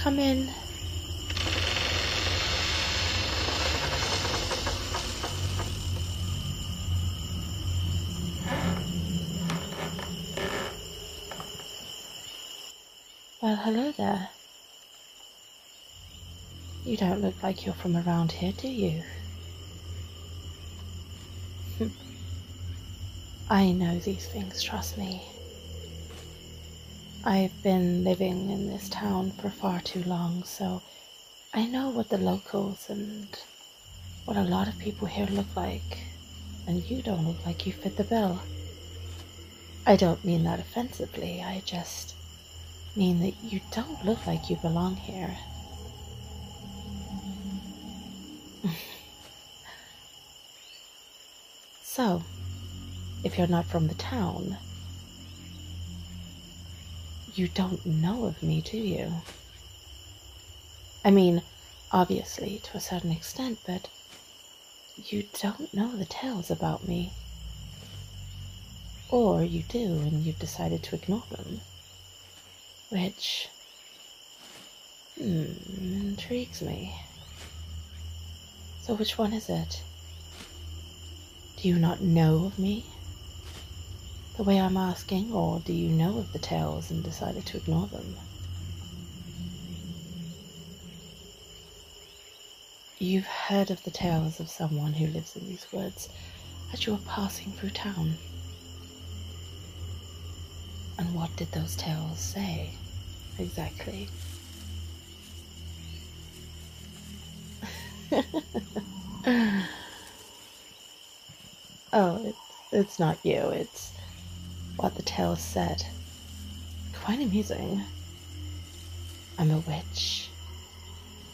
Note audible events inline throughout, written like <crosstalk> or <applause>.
Come in. Well, hello there. You don't look like you're from around here, do you? <laughs> I know these things, trust me. I've been living in this town for far too long, so I know what the locals and what a lot of people here look like, and you don't look like you fit the bill. I don't mean that offensively, I just mean that you don't look like you belong here. <laughs> So, if you're not from the town, you don't know of me, do you? I mean, obviously, to a certain extent, but you don't know the tales about me. Or you do, and you've decided to ignore them. Which Hmm, intrigues me. So, which one is it? Do you not know of me? The way I'm asking, or do you know of the tales and decided to ignore them? You've heard of the tales of someone who lives in these woods as you were passing through town. And what did those tales say exactly? <laughs> oh, it's, not you, it's what the tales said. Quite amusing. I'm a witch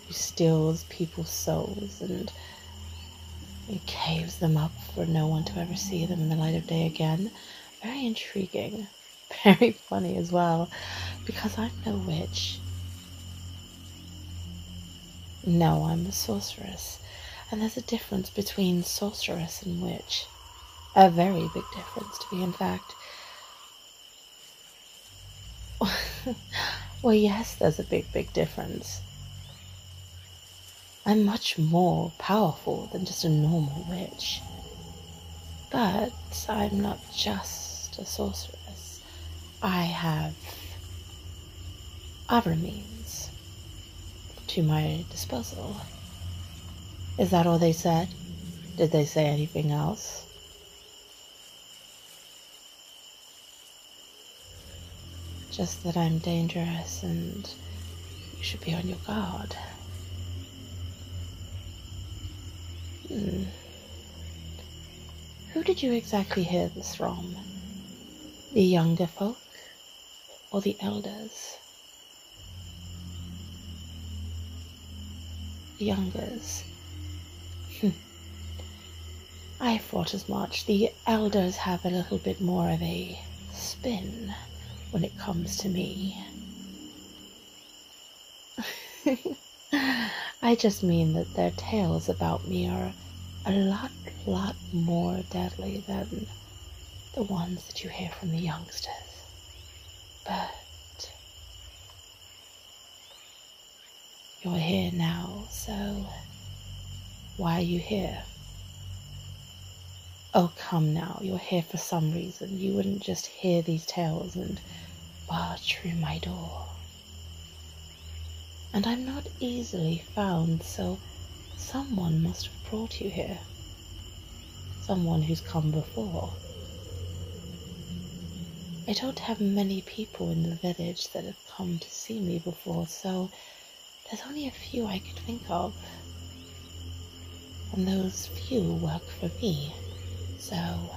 who steals people's souls and caves them up for no one to ever see them in the light of day again. Very intriguing, <laughs> very funny as well, because I'm no witch. No, I'm a sorceress, and there's a difference between sorceress and witch. A very big difference, to be in fact. <laughs> well, yes, there's a big, big difference. I'm much more powerful than just a normal witch. But I'm not just a sorceress. I have other means to my disposal. Is that all they said? Did they say anything else? Just that I'm dangerous and you should be on your guard. Hmm. Who did you exactly hear this from? The younger folk or the elders? The youngers. Hmm. I thought as much. The elders have a little bit more of a spin when it comes to me. <laughs> I just mean that their tales about me are a lot, lot more deadly than the ones that you hear from the youngsters. But you're here now, so why are you here? oh, come now, you're here for some reason. You wouldn't just hear these tales and bar through my door. And I'm not easily found, so someone must have brought you here. Someone who's come before. I don't have many people in the village that have come to see me before, so there's only a few I could think of, and those few work for me, so.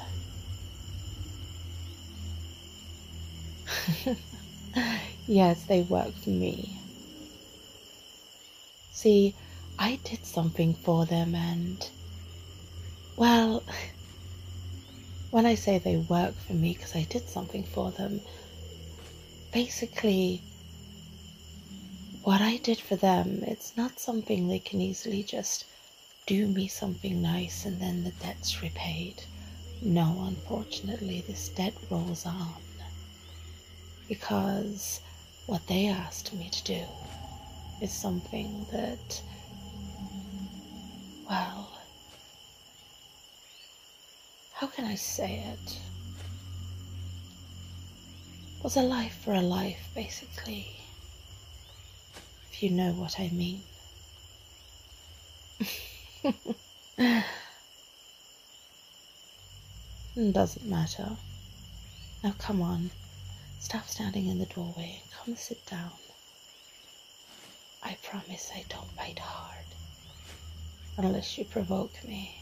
<laughs> yes, they work for me. See, I did something for them, and. Well, <laughs> when I say they work for me because I did something for them, basically, what I did for them, it's not something they can easily just do me something nice and then the debt's repaid. No, unfortunately, this debt rolls on because what they asked me to do is something that, well, how can I say it? Was a life for a life, basically, if you know what I mean. <laughs> Doesn't matter. Now come on, stop standing in the doorway and come sit down. I promise I don't bite hard unless you provoke me.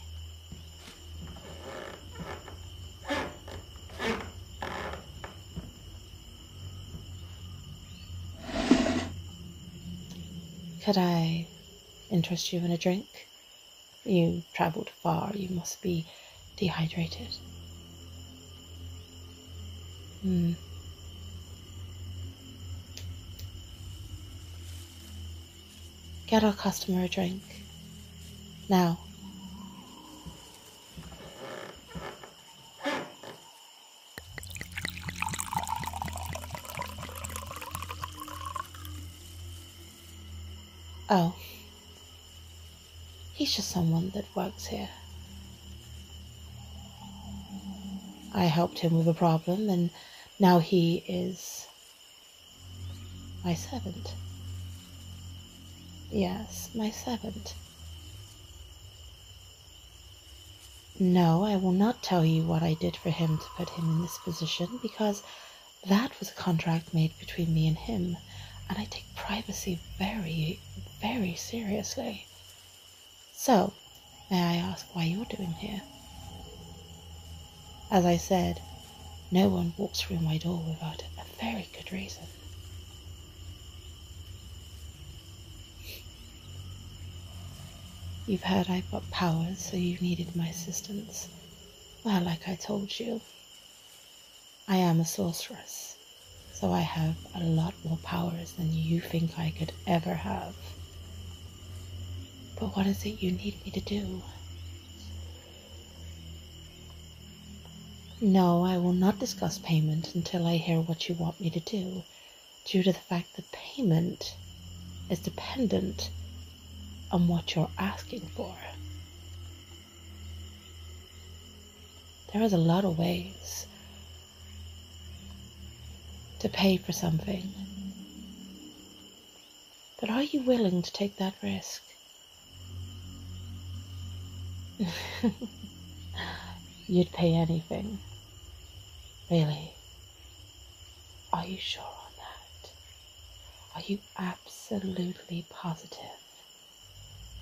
Could I interest you in a drink? You travelled far, you must be dehydrated. Hmm. Get our customer a drink. Now. Oh. He's just someone that works here. I helped him with a problem, and now he is my servant. Yes, my servant. No, I will not tell you what I did for him to put him in this position, because that was a contract made between me and him, and I take privacy very, very seriously. So, may I ask why you're doing here? As I said, no one walks through my door without a very good reason. You've heard I've got powers, so you needed my assistance. Well, like I told you, I am a sorceress, so I have a lot more powers than you think I could ever have. But what is it you need me to do? No, I will not discuss payment until I hear what you want me to do, due to the fact that payment is dependent on what you're asking for. There is a lot of ways to pay for something. But are you willing to take that risk? <laughs> You'd pay anything. Really? Are you sure on that? Are you absolutely positive?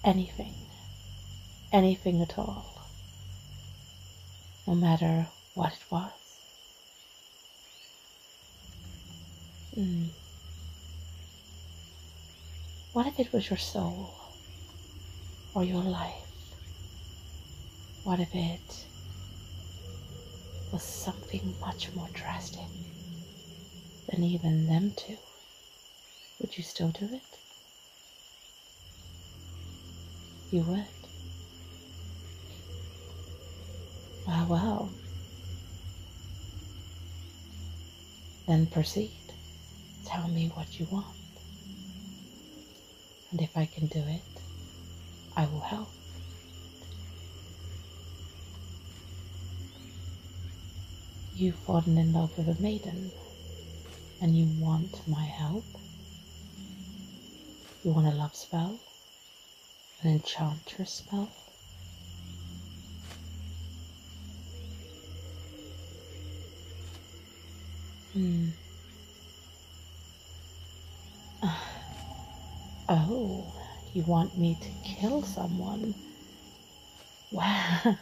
Anything. Anything at all. No matter what it was. Hmm. What if it was your soul or your life? What if it was something much more drastic than even them two? Would you still do it? You would. Ah, well. Then proceed. Tell me what you want. And if I can do it, I will help. You've fallen in love with a maiden and you want my help. You want a love spell? An enchantress spell? Hmm. <sighs> Oh, you want me to kill someone? Wow. <laughs>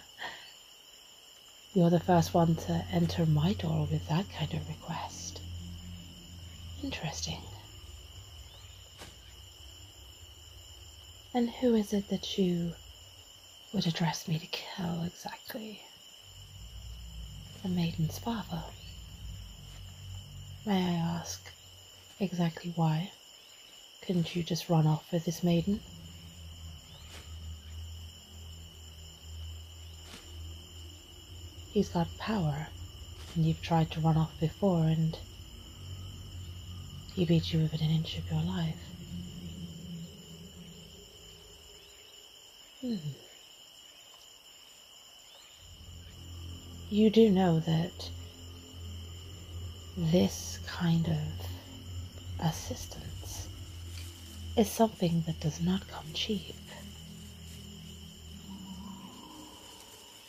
You're the first one to enter my door with that kind of request. Interesting. And who is it that you would address me to kill exactly? The maiden's father. May I ask exactly why? Couldn't you just run off with this maiden? He's got power, and you've tried to run off before, and he beat you within an inch of your life. Hmm. You do know that this kind of assistance is something that does not come cheap.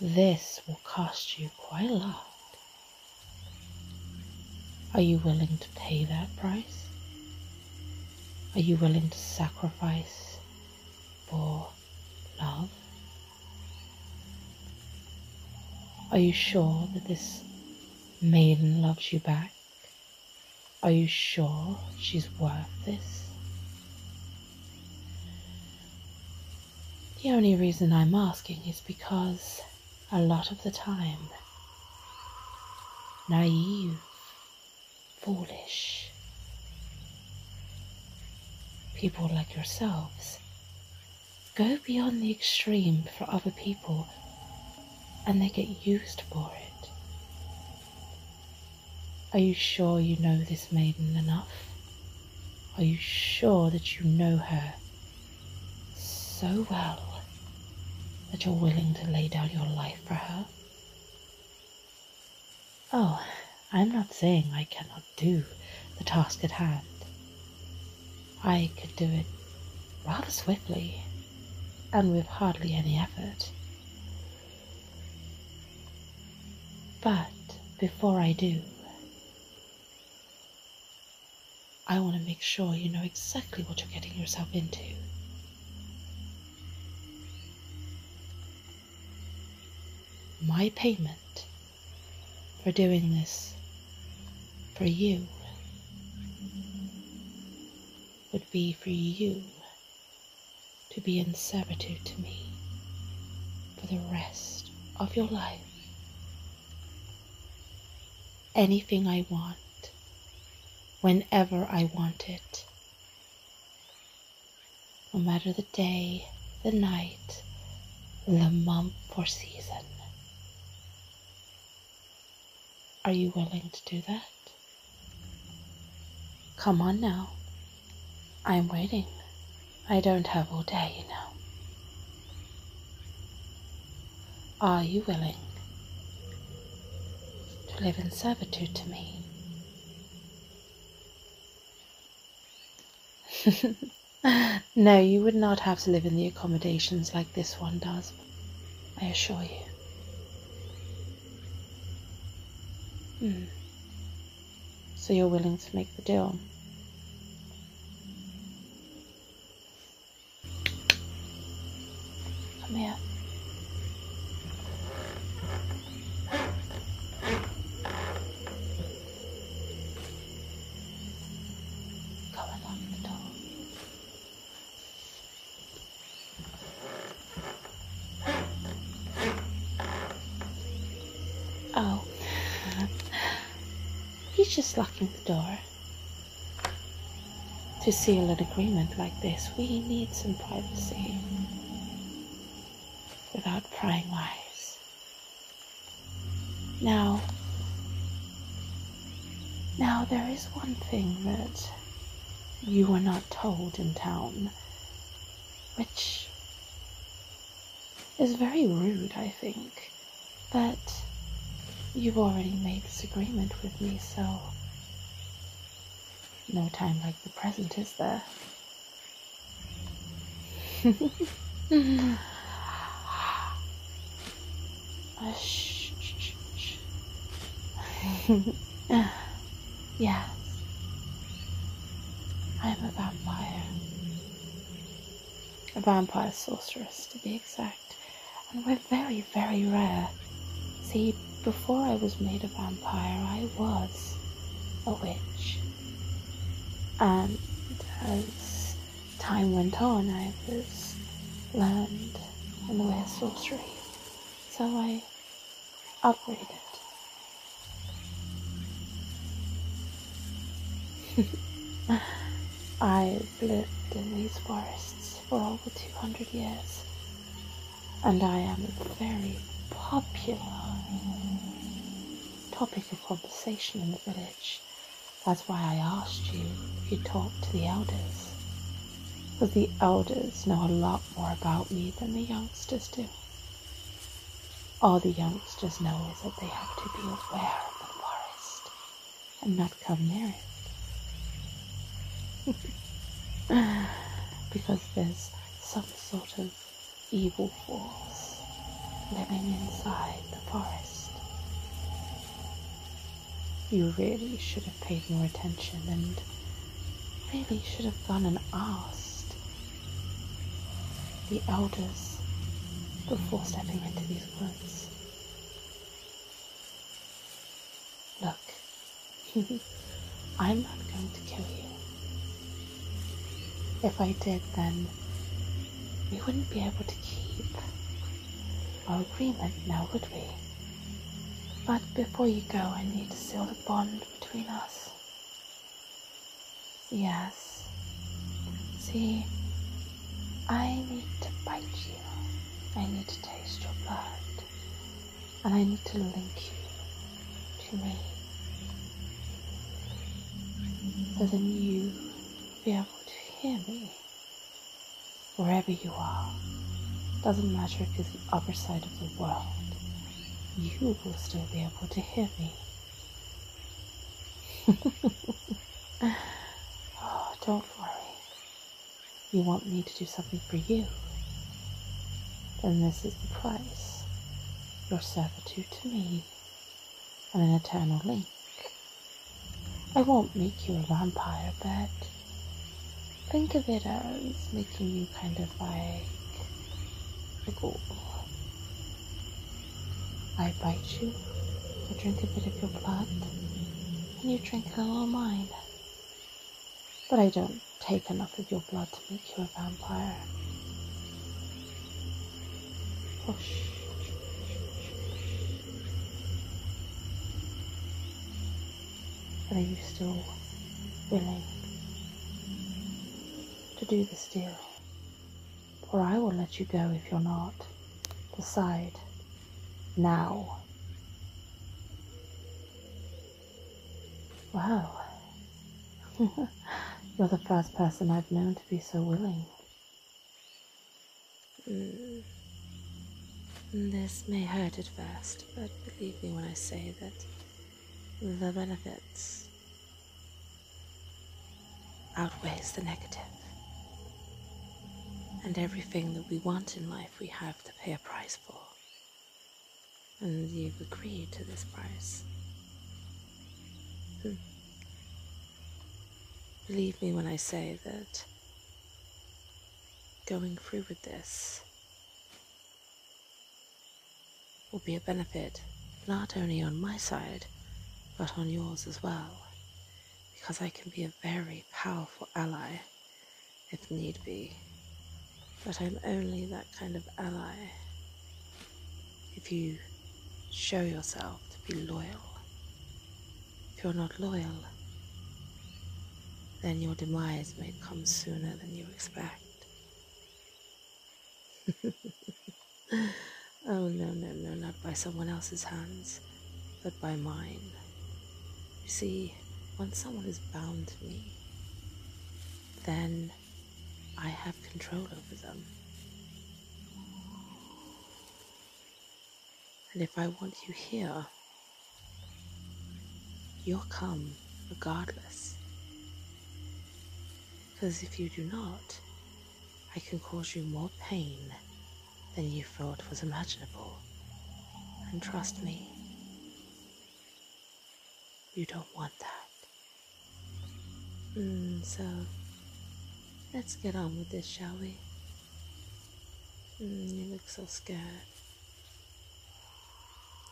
This will cost you quite a lot. Are you willing to pay that price? Are you willing to sacrifice for love? Are you sure that this maiden loves you back? Are you sure she's worth this? The only reason I'm asking is because a lot of the time, naive, foolish, people like yourselves go beyond the extreme for other people and they get used for it. Are you sure you know this maiden enough? Are you sure that you know her so well that you're willing to lay down your life for her? Oh, I'm not saying I cannot do the task at hand. I could do it rather swiftly and with hardly any effort. But before I do, I want to make sure you know exactly what you're getting yourself into. My payment for doing this for you would be for you to be in servitude to me for the rest of your life. Anything I want, whenever I want it, no matter the day, the night, the month or season. Are you willing to do that? Come on now. I'm waiting. I don't have all day, you know. Are you willing to live in servitude to me? <laughs> no, you would not have to live in the accommodations like this one does, I assure you. Mm. So you're willing to make the deal. Come here. Come and lock the door. Oh, he's just locking the door. To seal an agreement like this, we need some privacy without prying eyes. Now, now there is one thing that you were not told in town, which is very rude, I think. But you've already made this agreement with me, so no time like the present, is there? uh, <laughs> <laughs> Yes. I'm a vampire. A vampire sorceress, to be exact. And we're very, very rare. See, before I was made a vampire, I was a witch. And as time went on, I was learned in the ways of sorcery. So I upgraded. <laughs> I've lived in these forests for over 200 years, and I am a very popular topic of conversation in the village. That's why I asked you if you talked to the elders, because the elders know a lot more about me than the youngsters do. All the youngsters know is that they have to be aware of the forest and not come near it. <laughs> because there's some sort of evil force living inside the forest. You really should have paid more attention and really should have gone and asked the elders before stepping into these woods. Look, <laughs> I'm not going to kill you. If I did, then we wouldn't be able to keep our agreement now, would we? But before you go, I need to seal the bond between us. Yes. See, I need to bite you. I need to taste your blood. And I need to link you to me. So that you will be able to hear me. Wherever you are. Doesn't matter if you're the other side of the world you will still be able to hear me. <laughs> oh, don't worry. You want me to do something for you. Then this is the price your servitude to me and an eternal link. I won't make you a vampire, but think of it as making you kind of like like oh, I bite you, I drink a bit of your blood, and you drink a little of mine. But I don't take enough of your blood to make you a vampire. Push. are you still willing to do this deal, or I will let you go if you're not. Decide now. Wow. <laughs> you're the first person I've known to be so willing. Mm. This may hurt at first, but believe me when I say that the benefits outweighs the negative. And everything that we want in life, we have to pay a price for. And you've agreed to this price. Hmm. Believe me when I say that going through with this will be a benefit not only on my side, but on yours as well, because I can be a very powerful ally if need be. But I'm only that kind of ally if you show yourself to be loyal. If you're not loyal, then your demise may come sooner than you expect. <laughs> oh, no, no, no, not by someone else's hands, but by mine. You see, once someone is bound to me, then I have control over them. And if I want you here, you'll come regardless. Because if you do not, I can cause you more pain than you thought was imaginable. And trust me, you don't want that. Hmm, so, let's get on with this, shall we? Hmm, you look so scared.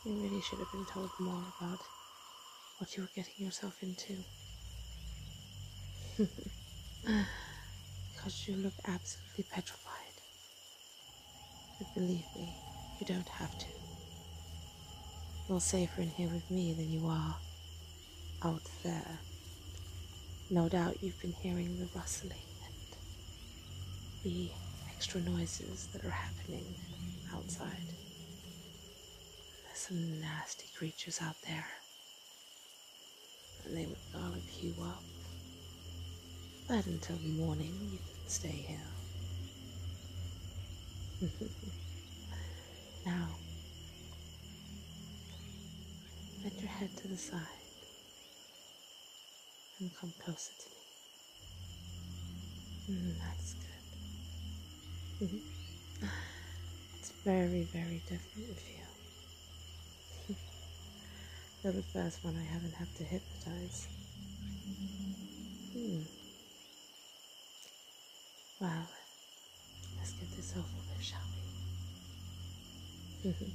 You really should have been told more about what you are getting yourself into. because <laughs> you look absolutely petrified. But believe me, you don't have to. You're safer in here with me than you are out there. No doubt you've been hearing the rustling and the extra noises that are happening outside. There's some nasty creatures out there, and they would garlic you up. But until morning, you can stay here. <laughs> now, bend your head to the side and come closer to me. Mm, that's good. Mm-hmm. It's very, very different feel. you <laughs> the first one I haven't had to hypnotize. Hmm. Wow. Let's get this over with, shall we? <laughs>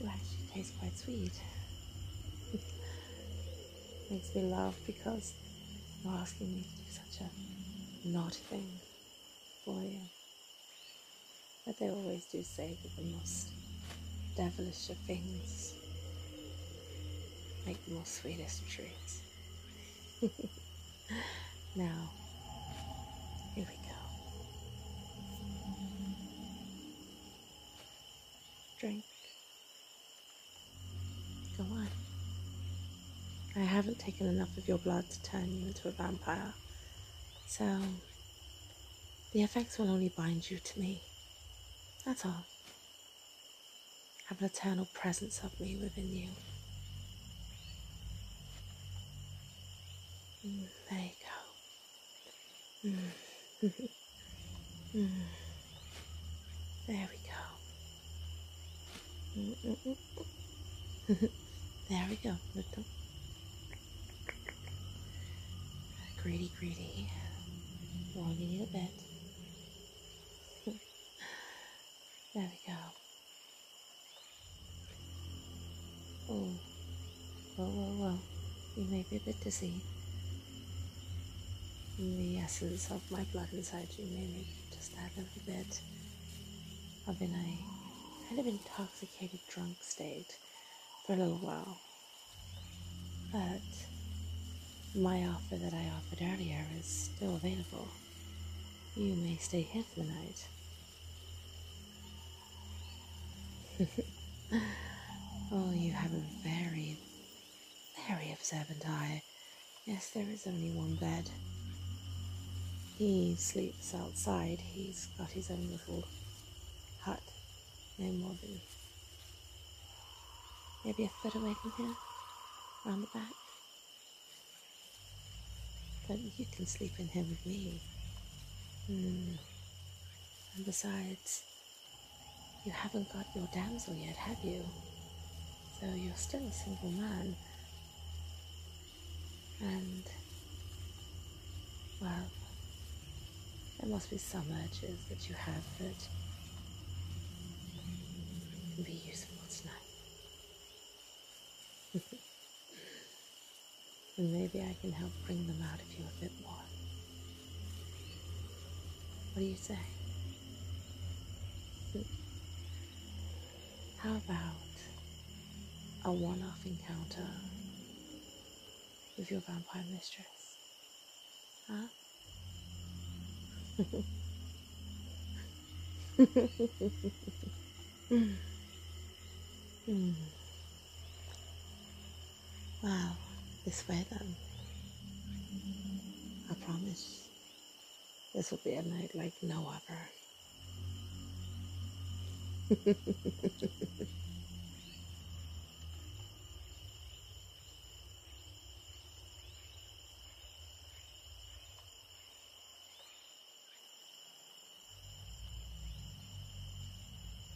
It actually tastes quite sweet. <laughs> Makes me laugh because you're asking me to do such a naughty thing for you. But they always do say that the most devilish of things make the most sweetest treats. <laughs> now, here we go. Drink. Go on. I haven't taken enough of your blood to turn you into a vampire, so the effects will only bind you to me. That's all. Have an eternal presence of me within you. Mm, there you go. <sighs> There we go. <laughs> there we go. Greedy, greedy. Longing it a bit. <laughs> there we go. Oh, Whoa, whoa, whoa. You may be a bit dizzy. the essence of my blood inside you may be just that little bit of an a kind of intoxicated drunk state for a little while. But my offer that I offered earlier is still available. You may stay here for the night. <laughs> oh, you have a very, very observant eye. Yes, there is only one bed. He sleeps outside. He's got his own little hut, no more than maybe a foot away from here, round the back. But you can sleep in here with me. Hmm. And besides, you haven't got your damsel yet, have you? So you're still a single man. And, well, there must be some urges that you have that can be useful tonight. <laughs> and maybe I can help bring them out of you a bit more. What do you say? How about a one off encounter with your vampire mistress? Huh? <laughs> mm. Wow, this weather. I promise this will be a night like no other.